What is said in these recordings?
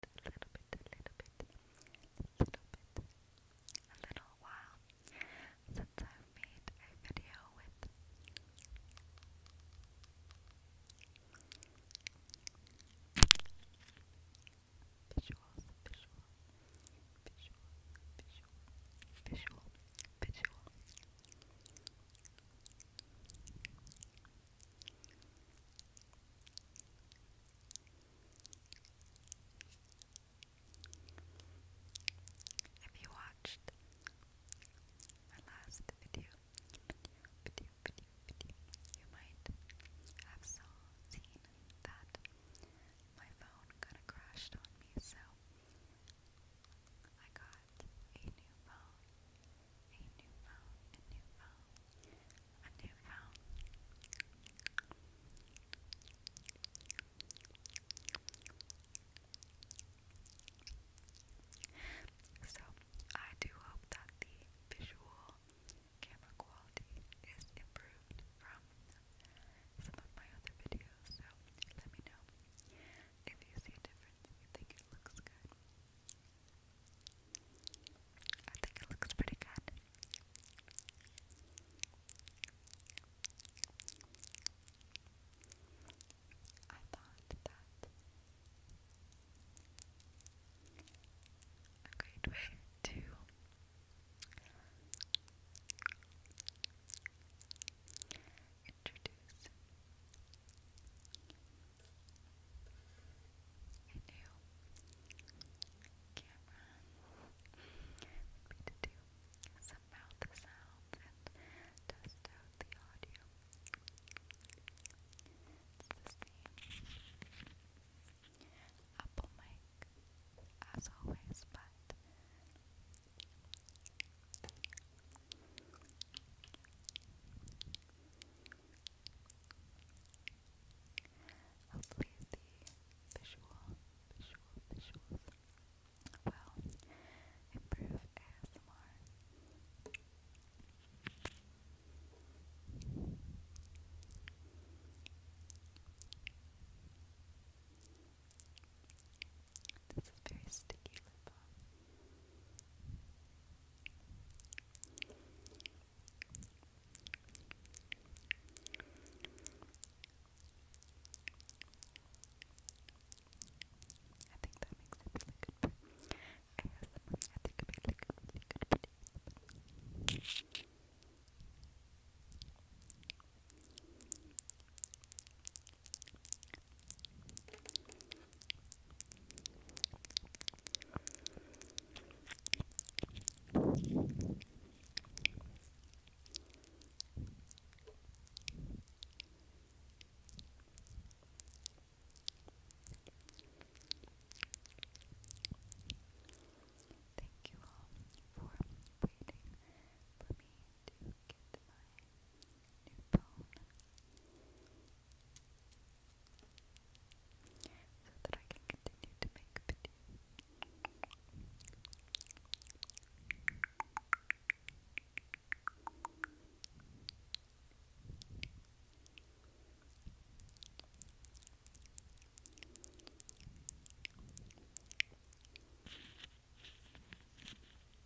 a little bit, a little bit, a little bit, a little while since I've made a video with if you watched my last video, you might have seen that my phone kinda crashed on me, so I got a new phone a So, I do hope that the visual camera quality is improved from some of my other videos. So, let me know if you see a difference, you think it looks good. I think it looks pretty good. I thought that a to introduce a new to do some mouth sounds test out the audio. Apple mic as always, but Hopefully the visual, visual, visuals will improve ASMR. This is very sticky lip balm. I think that makes it really good. I have someone I think it makes like really good videos. Thank you all for waiting for me to get my new bone so that I can continue to make videos. I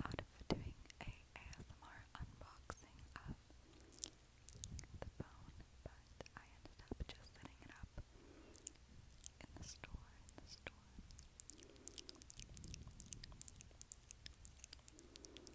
thought of doing a ASMR unboxing of the phone, but I ended up just setting it up in the store, in the store. Thank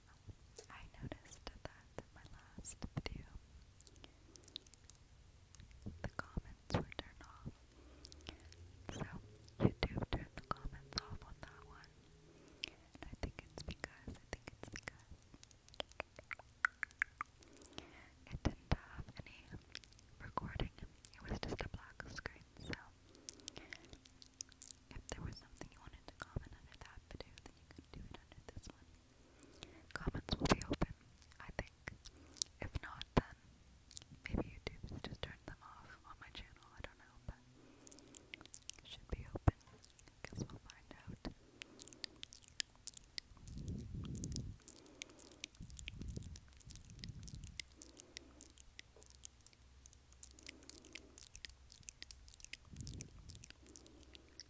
I noticed that my last video, the comments were turned off. So, YouTube turned the comments off on that one. I think it's because, I think it's because it didn't have any recording, it was just a black screen. So, if there was something you wanted to comment under that video, then you could do it under this one. Comments will be open, I think. If not, then maybe YouTube's just turned them off on my channel, I don't know, but should be open. I guess we'll find out.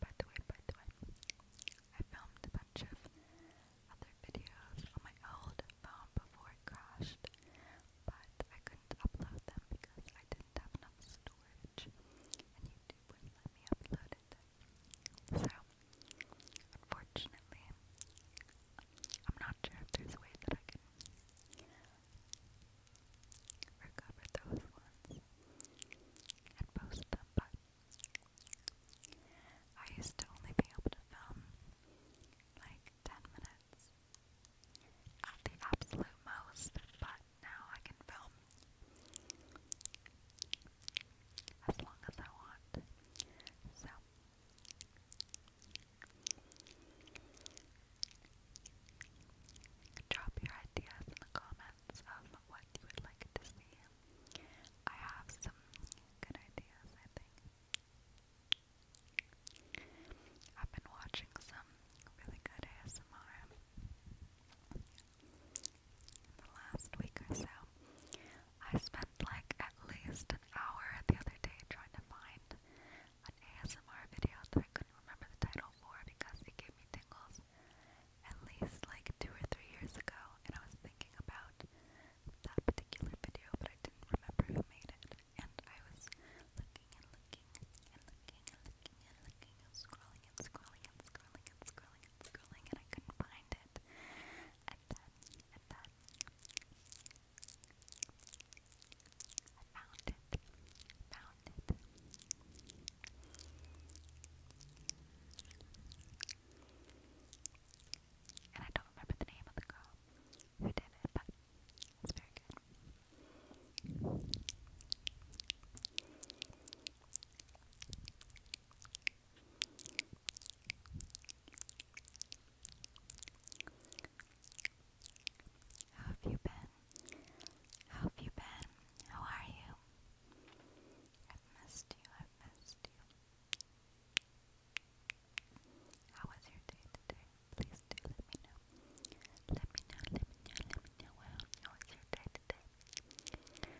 By the way, by the way, I filmed a bunch of other videos on my old phone before it crashed, but I couldn't upload them because I didn't have enough storage, and YouTube wouldn't let me upload it. So, unfortunately, I'm not sure if there's a way that I can recover those ones and post them, but I used to only be able to film like 10 minutes at the absolute most, but now I can film as long as I want. So, drop your ideas in the comments of what you would like to see. I have some good ideas, I think. I've been watching some really good ASMR the last week or so. I spent like at least an hour the other day trying to find an ASMR video that I couldn't remember the title for because it gave me tingles at least like two or three years ago, and I was thinking about that particular video, but I didn't remember who made it. And I was looking and looking and looking and looking and looking scrolling and scrolling and scrolling and scrolling and scrolling, and I couldn't find it. And then, and then, I found it, found it, and I don't remember the name of the girl who did it, but it's very good. How have you been? How have you been? How are you? I've missed you, I've missed you. How was your day today? Please do let me know. Let me know, let me know, let me know. Well, how was your day today?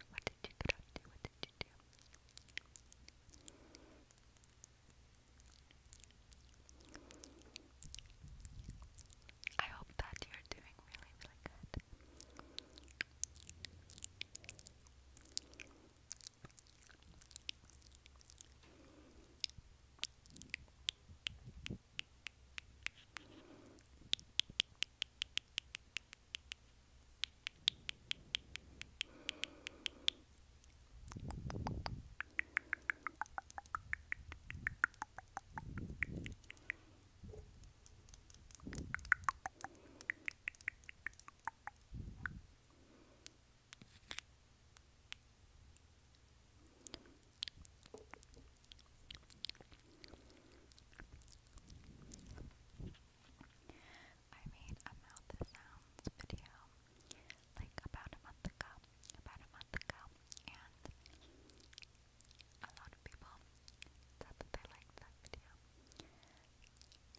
What did you get up to? What did you do? I hope that you're doing really, really good. I made a mouth sounds video like about a month ago, about a month ago, and a lot of people said that they liked that video,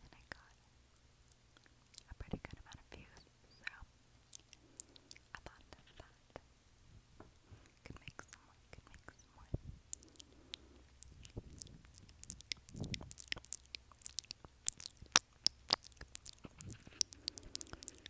and I got a pretty good amount of views, so I thought that could make someone, could